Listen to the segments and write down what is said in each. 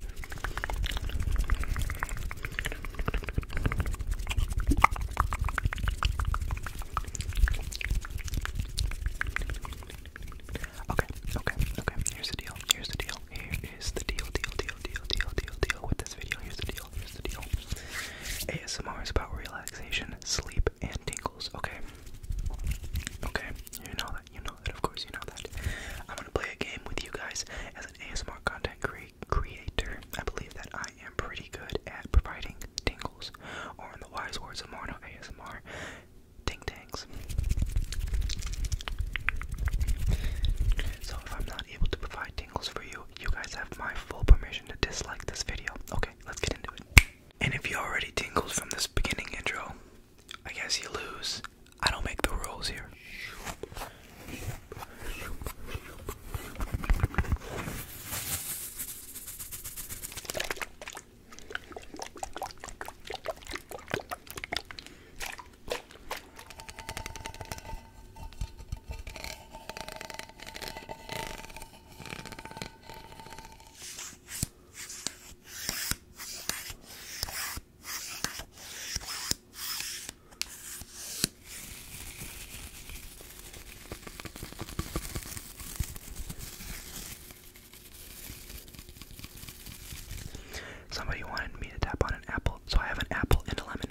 Okay, okay, okay. Here's the deal. Here's the deal. Here is the deal, deal, deal, deal, deal, deal, deal with this video. Here's the deal. Here's the deal. ASMR is about relaxation, sleep, and tingles. Okay. Okay. You know that. You know that, of course, you know that. I'm gonna play a game with you guys as an ASMR content creator. I believe that I am pretty good at providing tingles, or in the wise words of Morno ASMR, ting tangs. So if I'm not able to provide tingles for you, you guys have my full permission to dislike this video. Okay, let's get into it. And if you already tingled from this beginning intro, I guess you lose. I don't make the rules here. Somebody wanted me to tap on an apple, so I have an apple and a lemon.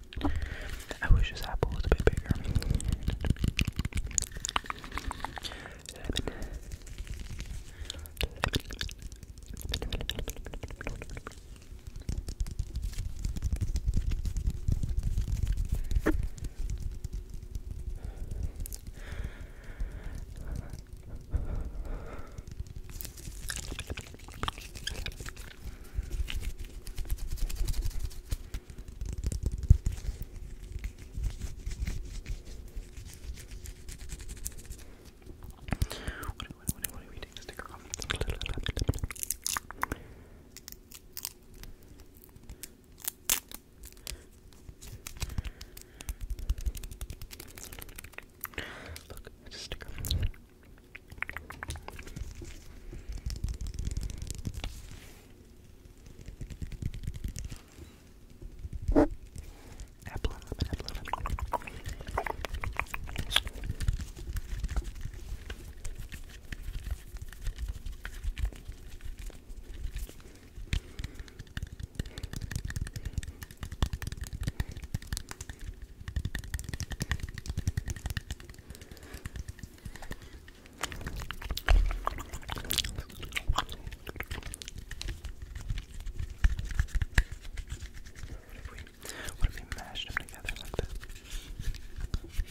I wish this apple was a bit bigger. What do, what do, what do, what do we take the sticker off? Look, it's a sticker. Apple and lemon, apple and lemon. What if we, what if we mashed them together like this? Okay, okay,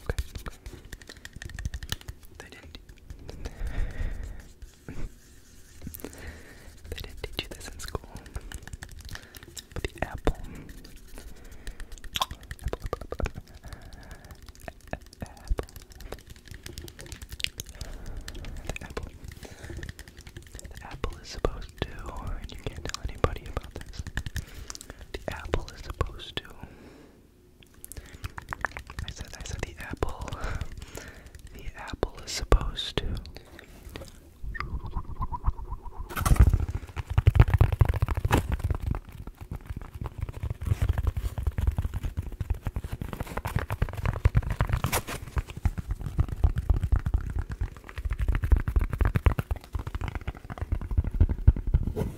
okay, okay, okay. They didn't they didn't teach you this in school. the apple. Apple, apple, apple, apple is supposed to, and you can't tell anybody about this. The apple is supposed to I said, I said the apple. The apple is supposed to.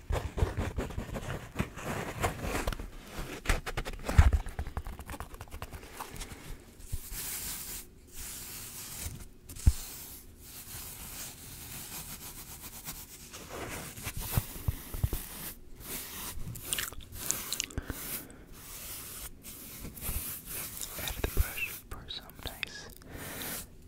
Add the brush for some nice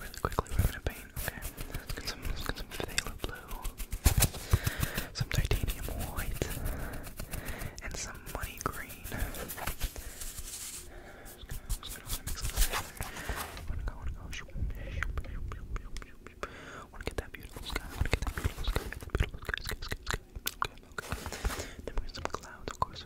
Really quickly, we're gonna paint. Okay, let's get some, let's get some phthalo blue, some titanium white, and some money green. Just gonna, just gonna, gonna go, want Wanna get that beautiful sky. Wanna get that beautiful sky. That beautiful sky, sky, sky, sky. Okay, okay. Then we're gonna some clouds, of course.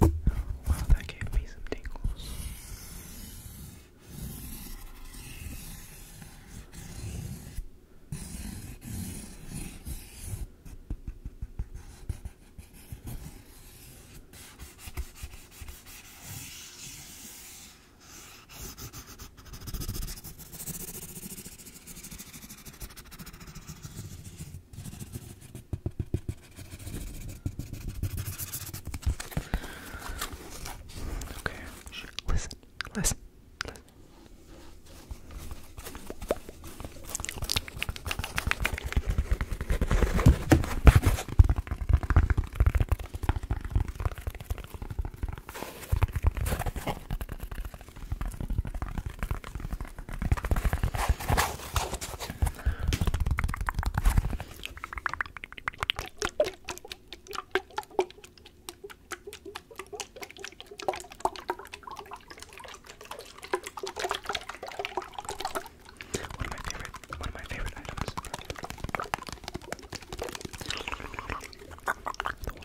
Wow, that gave me some tingles. Wow, Okay. Listen. Listen. Listen. One of my favorite, one of my favorite items. The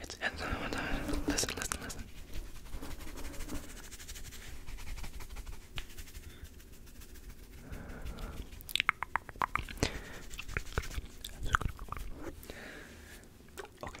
It's and listen, listen, listen. Okay.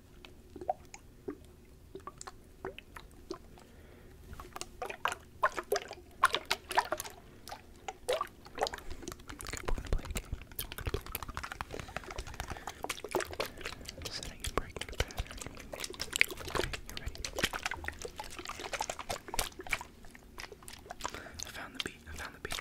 we're gonna play a game. We're gonna play Setting and breaking the pattern. Okay, you ready? I found the beat. I found the beat.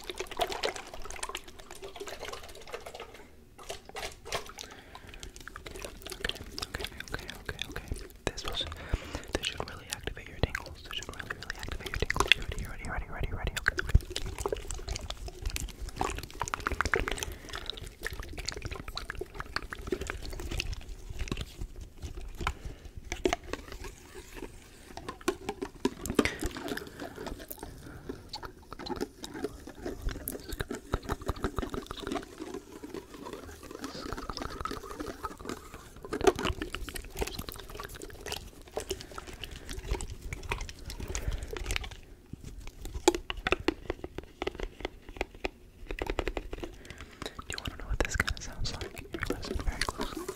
okay, okay, okay, okay. This was this should really activate your tingles. This should really, really activate your tingles. You ready, you ready, ready, ready, ready, okay, okay. Okay, do you want to know what this kind of sounds like? If you listen very closely.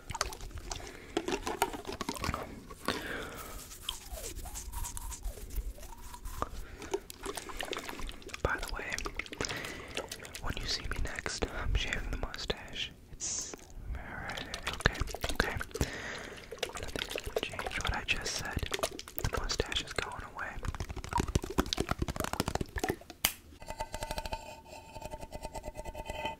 By the way, when you see me next, I'm shaving the mustache. It's alright, okay, okay. change what I just said. The mustache is going away.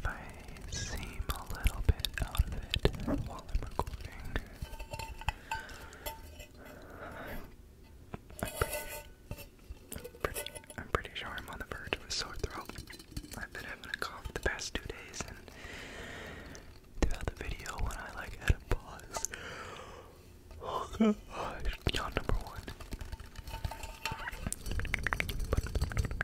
If I seem a little bit out of it while I'm recording. I'm pretty, I'm pretty, I'm pretty sure I'm on the verge of a sore throat. I've been having a cough the past two days, and throughout the video, when I like had a pause, oh gosh, yawn number one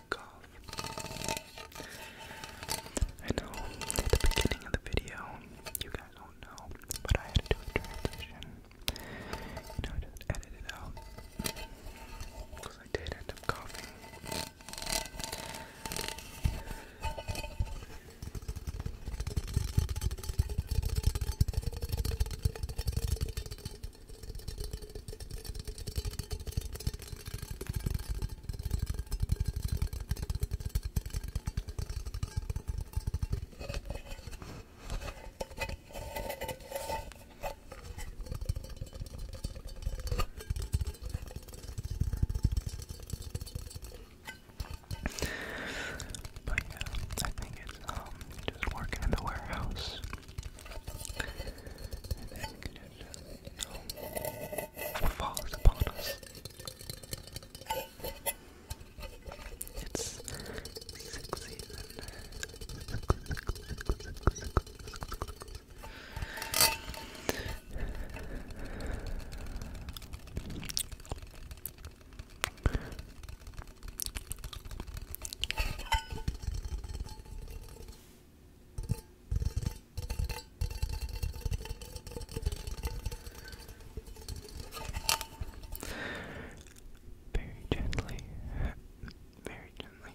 I know at the beginning of the video, you guys don't know, but I had to do a transition. You know, just edit it out. Because I did end up coughing. But yeah, I think it's um just working in the warehouse and it uh, falls upon us. It's sixth season. Very gently, very gently. Very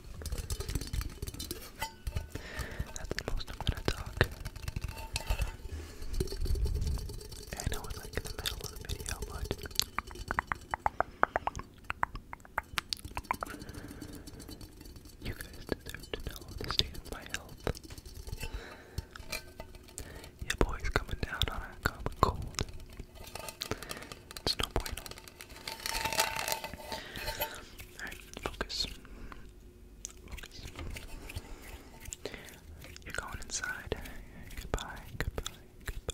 That's the most I'm gonna talk. I know it's like in the middle of the video, but you guys deserve to know the state of my health. Your boy's coming down on a common cold. It's no bueno. Focus. You're going inside. Goodbye, goodbye, goodbye.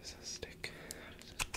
This is a stick. How does this work?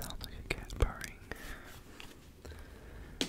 Sounds like a cat purring. Good.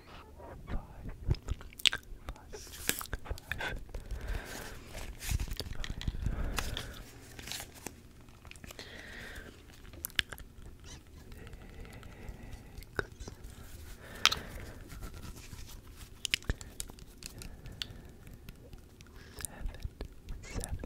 five, five, five, Seven, seven,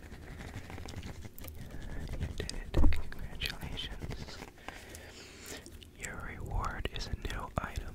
you did it. Congratulations. Your reward is a new item.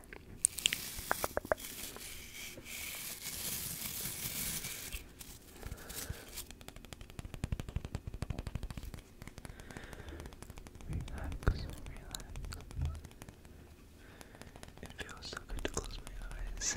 Relax, relax. It feels so good to close my eyes.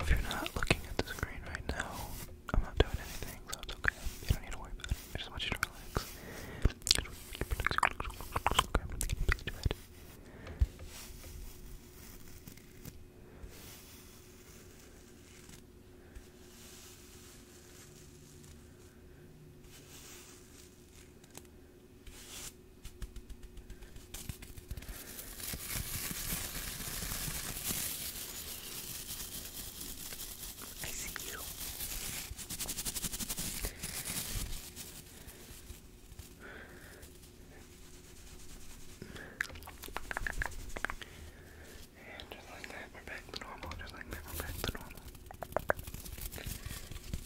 If you're not looking at the screen right now, I'm not doing anything, so it's okay. You don't need to worry about it. I just want you to relax. I see you. And just like that, we're back to normal. Just like that, we're back to normal.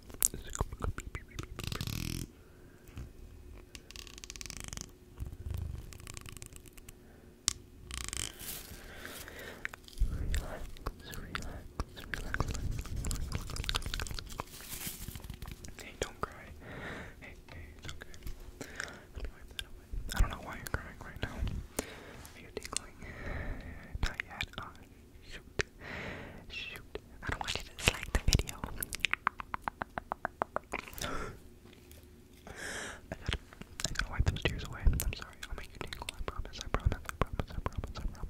Hey, don't cry. Hey, hey, it's okay. Let I don't know why you're crying right now. Are you tickling? Not yet. Ah. Shoot. Shoot. I don't want you to dislike the video. I gotta, I gotta wipe those tears away. I'm sorry. I'll make you tingle. I promise. I promise. I promise. I promise. I promise.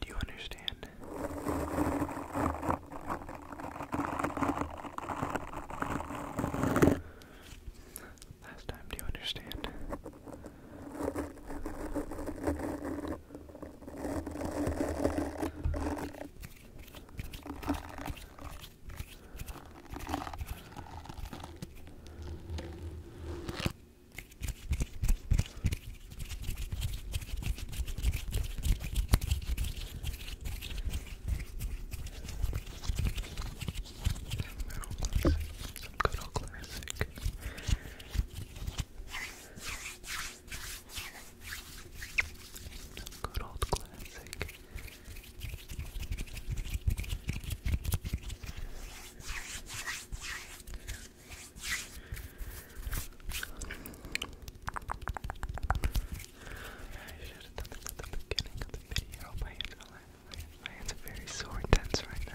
Do you understand? Last time, do you understand? Some good old classic. Some good old classic. I should have done this at the beginning of the video. My hands are, very sore and tense right now.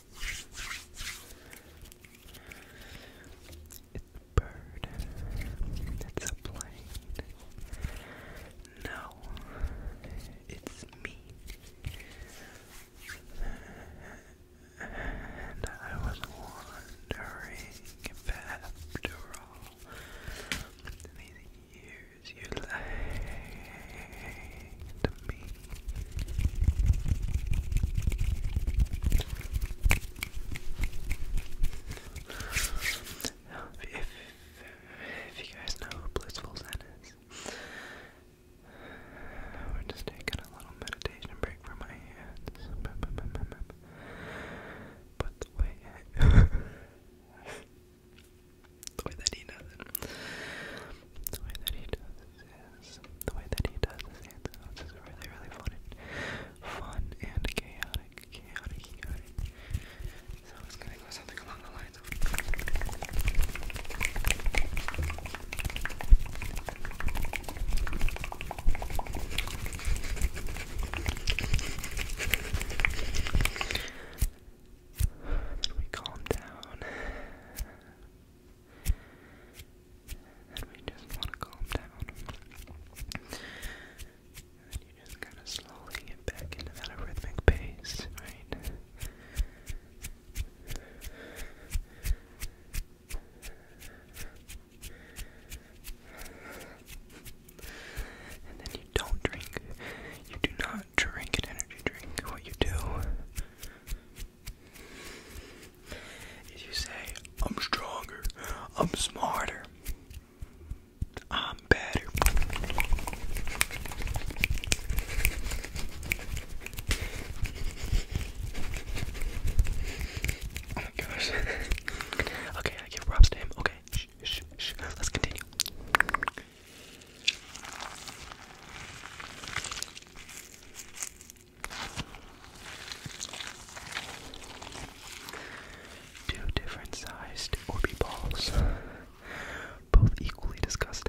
It's a bird. It's a plane. No, it's me. And I was wondering after all these years you laid if, if, you guys know who Blissful Zen is, we're just taking a little meditation break for my hands. But the way that he does it, the way that he does it the way that he does his hand really, really fun fun and chaotic, chaotic, chaotic. So it's gonna go something along the lines of then we calm down. And we just want to calm down. And you just kind of slowly get back into that rhythmic pace, right? And then you don't drink. You do not drink an energy drink. What you do if you say, I'm stronger, I'm smarter, I'm better. Oh my gosh. okay, I give props to him. Okay, shh, shh, shh. Let's continue. Two different sized Orby balls, both equally disgusting.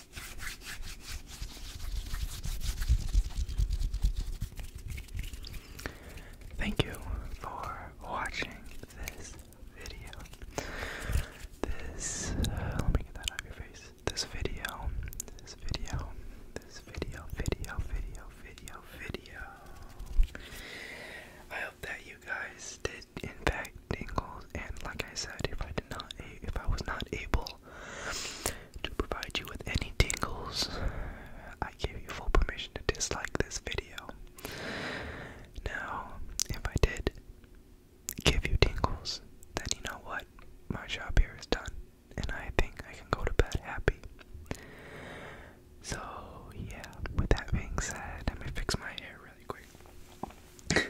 Thank you for watching this video. This, uh, let me get that out of your face. This video, this video, this video, video, video, video, video. I hope that you guys did, in fact, tingles. And like I said, if I if I was not able to provide you with any tingles, I give you full permission to dislike this video. Now, if I did give you tingles, then you know what? My job here is done, and I think I can go to bed happy. So, yeah, with that being said, let me fix my hair really quick.